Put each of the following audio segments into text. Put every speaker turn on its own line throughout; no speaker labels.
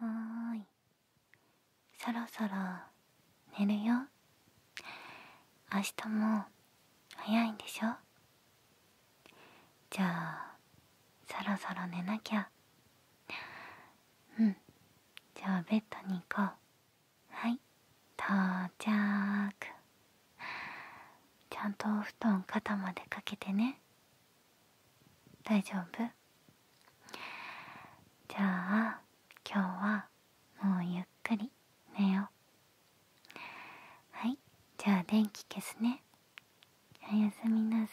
おーいそろそろ寝るよ明日も早いんでしょじゃあそろそろ寝なきゃうんじゃあベッドに行こうはい到着ちゃんとお布団肩までかけてね大丈夫じゃあ今日はもうゆっくり寝ようはいじゃあ電気消すねおやすみなさ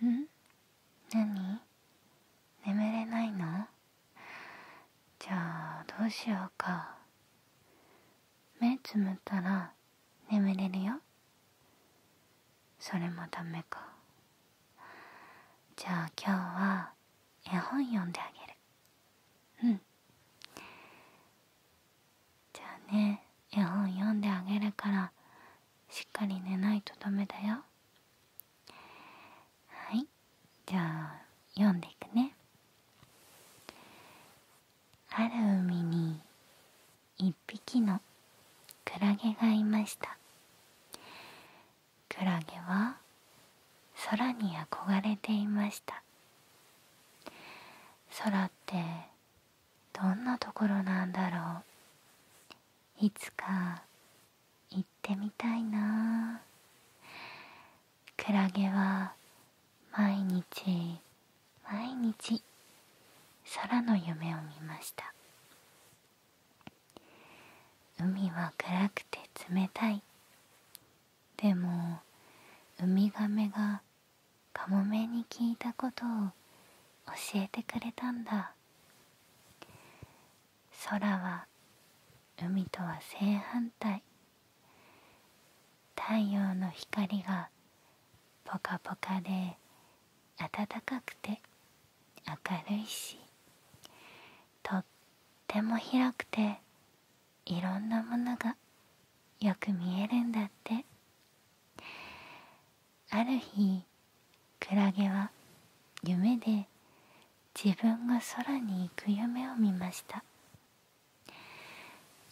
ーいん何眠れないのじゃあどうしようか目つむったら眠れるよそれもダメかじゃあ今日は絵本読んであげるうんじゃあね絵本読んであげるからしっかり寝ないとダメだよはいじゃあ読んでいくねある海に一匹のクラゲがいましたクラゲは空に憧れていました空ってどんなところなんだろういつか行ってみたいなクラゲは毎日毎日空の夢を見ました海は暗くて冷たいでもウミガメがカモメに聞いたことを教えてくれたんだ空は海とは正反対太陽の光がぽかぽかで暖かくて明るいしとっても広くていろんなものがよく見えるんだってある日クラゲは夢で自分が空に行く夢を見ました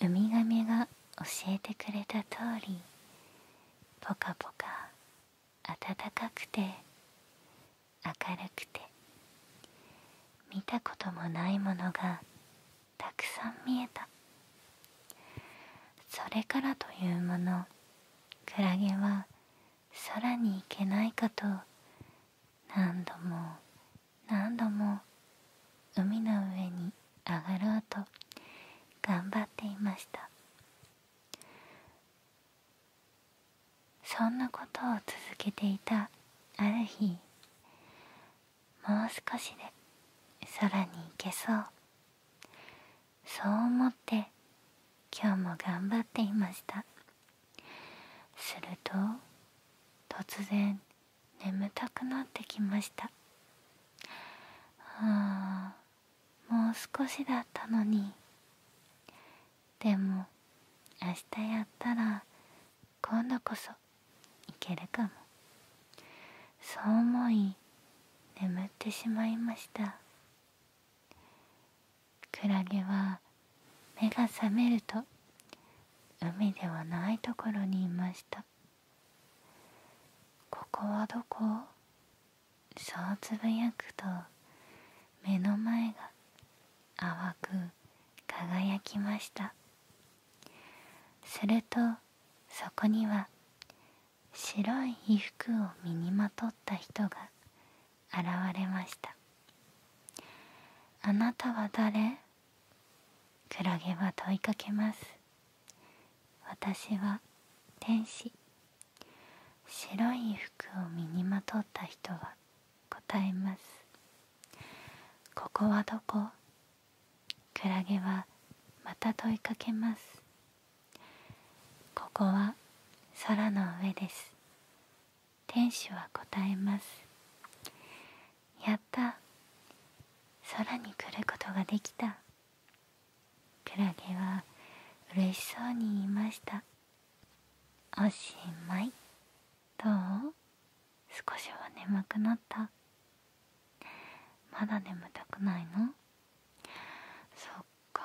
ウミガメが教えてくれた通りポカポカ暖かくて明るくて見たこともないものがたくさん見えたそれからというものクラゲは空に行けないかと何度も何度も海の上に上がろうと頑張っていましたそんなことを続けていたある日もう少しで空に行けそうそう思って今日も頑張っていましたすると突然眠たくなってきましたあもう少しだったのにでも明日やったら今度こそいけるかもそう思い眠ってしまいましたクラゲは目が覚めると海ではないところにいましたここはどこそうつぶやくと目の前が淡く輝きましたするとそこには白い衣服を身にまとった人が現れました「あなたは誰?」ラゲは問いかけます私は天使白い服を身にまとった人は答えますここはどこクラゲはまた問いかけますここは空の上です天使は答えますやった空に来ることができたクラゲはうれしそうに言いましたおしまいどう少しは眠くなったまだ眠たくないのそっか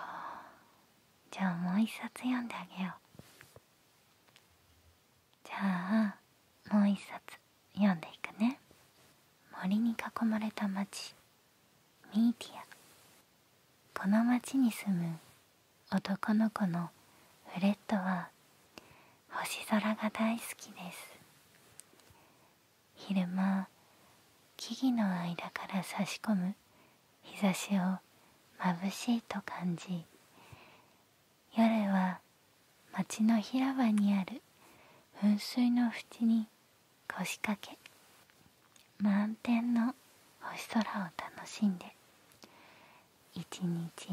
じゃあもう一冊読んであげようじゃあもう一冊読んでいくね森に囲まれた町ミーティアこの町に住む男の子のフレッドは星空が大好きです昼間木々の間から差し込む日差しをまぶしいと感じ夜は町の広場にある噴水の淵に腰掛け満天の星空を楽しんで一日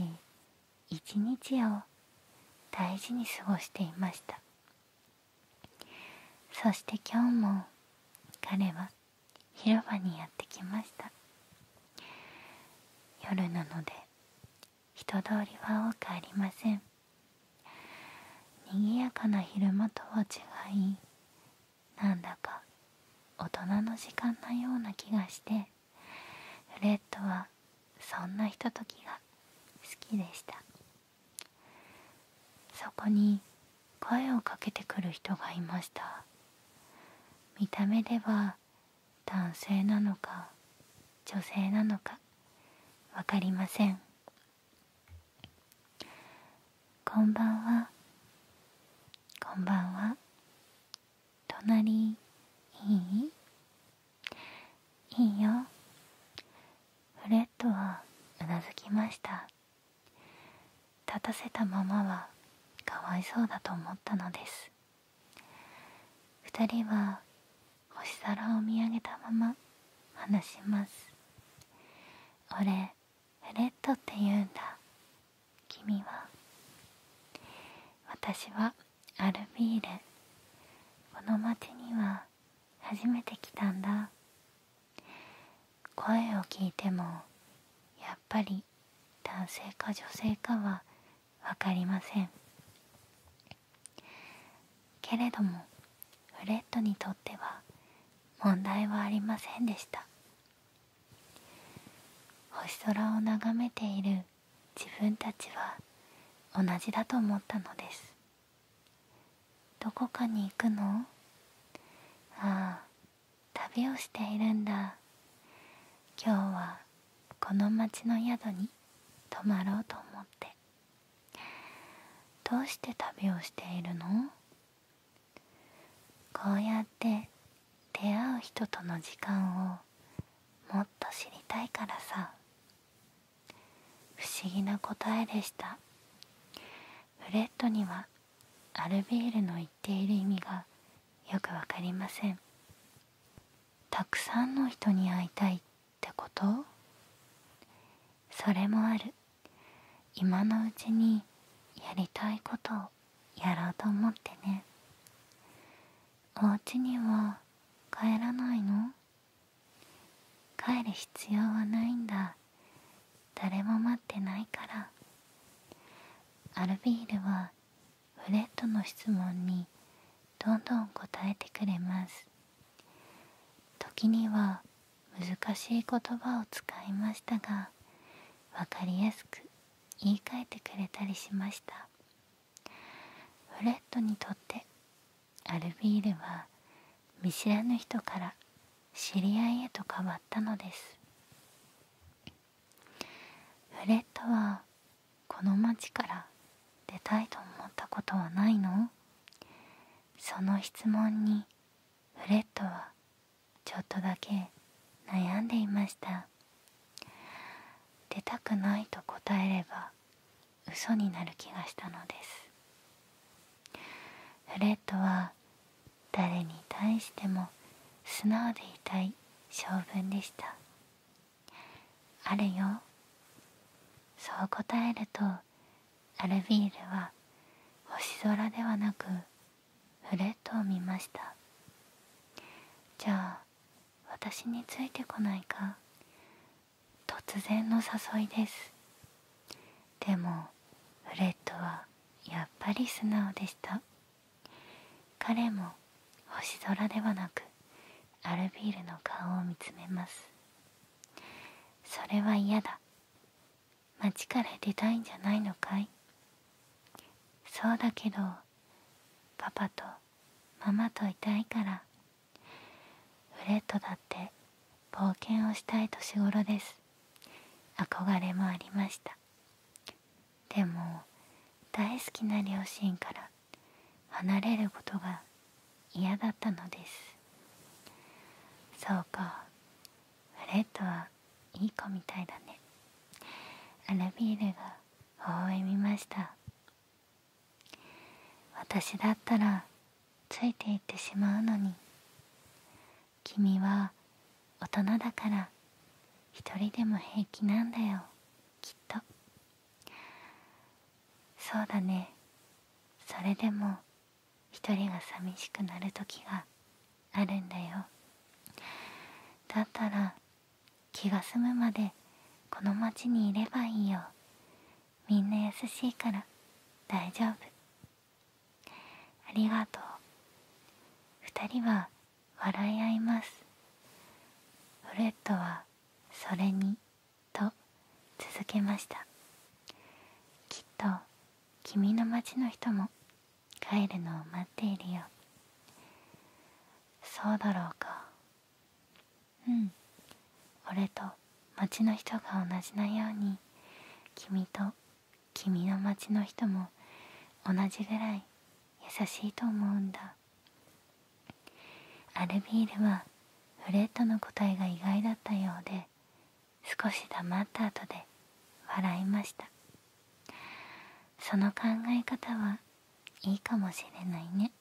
一日を大事に過ごしていましたそして今日も彼は広場にやってきました夜なので人通りは多くありません賑やかな昼間とは違いなんだか大人の時間のような気がしてフレッドはそんなひとときが好きでしたそこに声をかけてくる人がいました見た目では男性なのか女性なのか分かりませんこんばんはこんばんは隣いいいいよフレットはうなずきました立たせたままはかわいそうだと思ったのです2人は星空を見上げたまま話します俺フレットって言うんだ君は私はアルビールこの町には初めて来たんだ声を聞いてもやっぱり男性か女性かは分かりませんけれどもフレッドにとっては問題はありませんでした星空を眺めている自分たちは同じだと思ったのですどこかに行くのああ旅をしているんだ今日はこの町の宿に泊まろうと思ってどうして旅をしているのこうやって出会う人との時間をもっと知りたいからさ不思議な答えでしたブレッドにはアルビールの言っている意味がよくわかりませんたくさんの人に会いたいってことそれもある今のうちにやりたいことをやろうと思ってねお家には帰らないの帰る必要はないんだ誰も待ってないからアルビールはフレットの質問にどんどん答えてくれます時には難しい言葉を使いましたが分かりやすく言い換えてくれたりしましたフレットにとってアルビールは見知らぬ人から知り合いへと変わったのですフレットはこの町から出たいと思ったことはないのその質問にフレットはちょっとだけ悩んでいました出たくないと答えれば嘘になる気がしたのですフレットは誰に対しても素直でいたい性分でしたあるよそう答えるとアルビールは星空ではなくフレットを見ましたじゃあ私についてこないか突然の誘いですでもフレットはやっぱり素直でした彼も星空ではなくアルビールの顔を見つめますそれは嫌だ町から出たいんじゃないのかいそうだけどパパとママといたいからフレットだって冒険をしたい年頃です憧れもありましたでも大好きな両親から離れることが嫌だったのですそうかフレッドはいい子みたいだねアルビールが微笑みました私だったらついていってしまうのに君は大人だから一人でも平気なんだよきっとそうだねそれでも一人が寂しくなる時があるんだよだったら気が済むまでこの町にいればいいよみんな優しいから大丈夫ありがとう二人は笑い合いますフレッドはそれにと続けましたきっと君の町の人も帰るのを待っているよそうだろうかうん俺と町の人が同じなように君と君の町の人も同じぐらい優しいと思うんだアルビールはフレッドの答えが意外だったようで少し黙った後で笑いましたその考え方はいいかもしれないね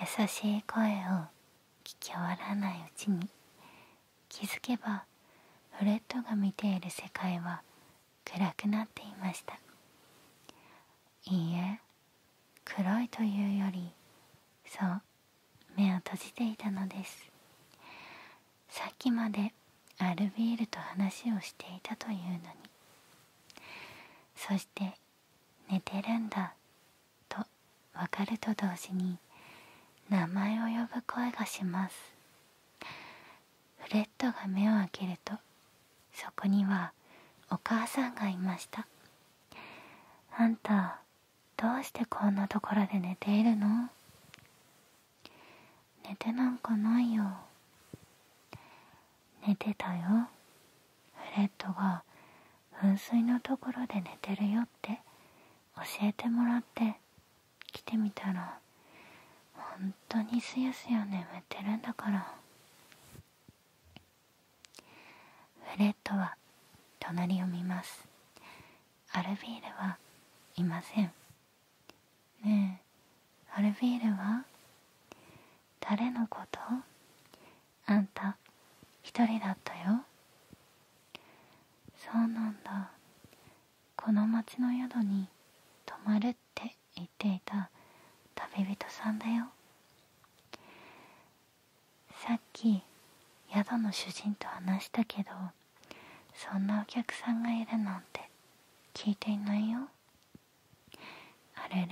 優しい声を聞き終わらないうちに気づけばフレッドが見ている世界は暗くなっていましたいいえ黒いというよりそう目を閉じていたのですさっきまでアルビールと話をしていたというのにそして寝てるんだとわかると同時に名前を呼ぶ声がしますフレットが目を開けるとそこにはお母さんがいましたあんたどうしてこんなところで寝ているの寝てなんかないよ寝てたよフレットが噴水のところで寝てるよって教えてもらって来てみたら本当にすやすや眠ってるんだからフレットは隣を見ますアルビールはいませんねえアルビールは誰のことあんた一人だったよそうなんだこの町の宿に泊まるって言っていた旅人さんだよさっき宿の主人と話したけどそんなお客さんがいるなんて聞いていないよあれれ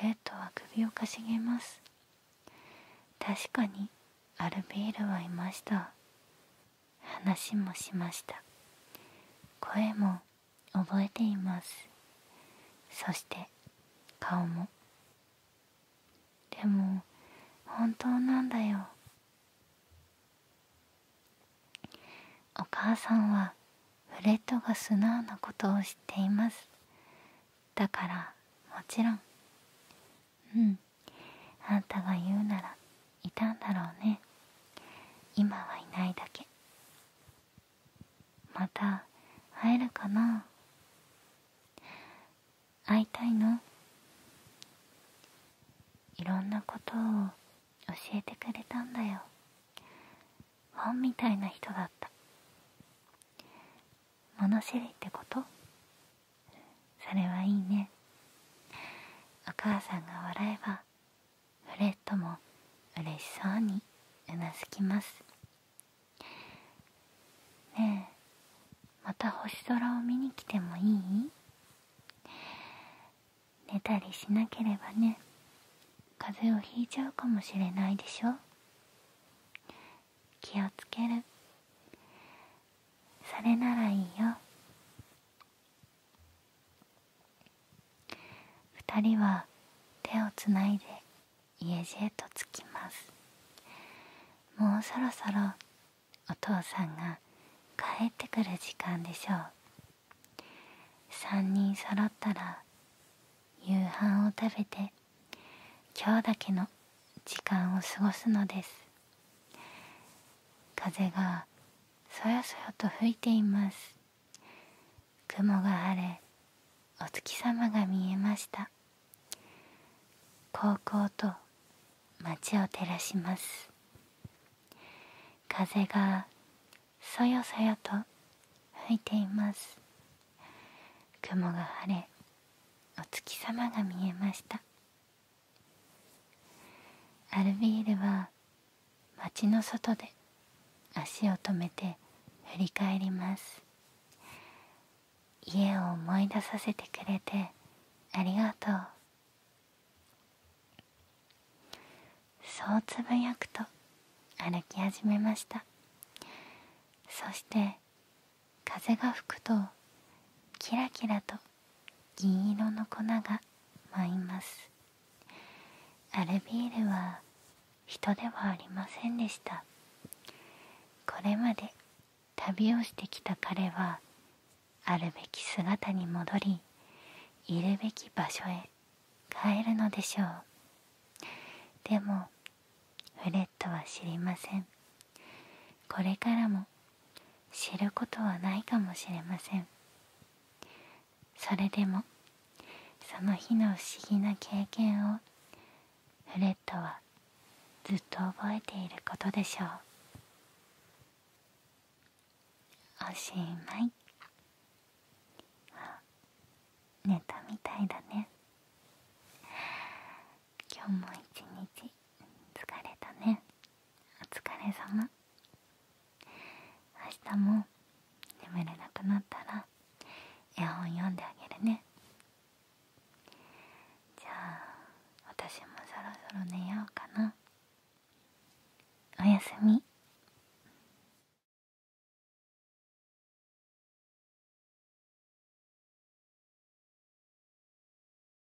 フレットは首をかしげます確かにアルビールはいました話もしました声も覚えていますそして顔もでも本当なんだよお母さんはフレッドが素直なことを知っていますだからもちろんうんあんたが言うならいたんだろうね今はいないだけまた会えるかな会いたいのいろんなことを教えてくれたんだよ本みたいな人だった物知りってことそれはいいねお母さんが笑えばフレットも嬉しそうにうなずきますねえまた星空を見に来てもいい寝たりしなければね風邪をひいちゃうかもしれないでしょ気をつけるそれならいいよ2人は手をつないで家路へと着きますもうそろそろお父さんが帰ってくる時間でしょう3人揃ったら夕飯を食べて今日だけの時間を過ごすのです風がそよそよと吹いています雲が晴れお月様が見えました高校と街を照らします風がそよそよと吹いています雲が晴れお月様が見えましたアルビールは街の外で足を止めて振り返ります家を思い出させてくれてありがとうそうつぶやくと歩き始めましたそして風が吹くとキラキラと銀色の粉が舞いますアルビールは人ではありませんでしたこれまで旅をしてきた彼はあるべき姿に戻りいるべき場所へ帰るのでしょうでもフレットは知りませんこれからも知ることはないかもしれませんそれでもその日の不思議な経験をフレッドはずっと覚えていることでしょうおしまいあ寝たみたいだね今日も一日疲れたねお疲れ様明日も眠れなくなったら絵本読んであげるねじゃあ私もそろそろ寝ようかなおやすみ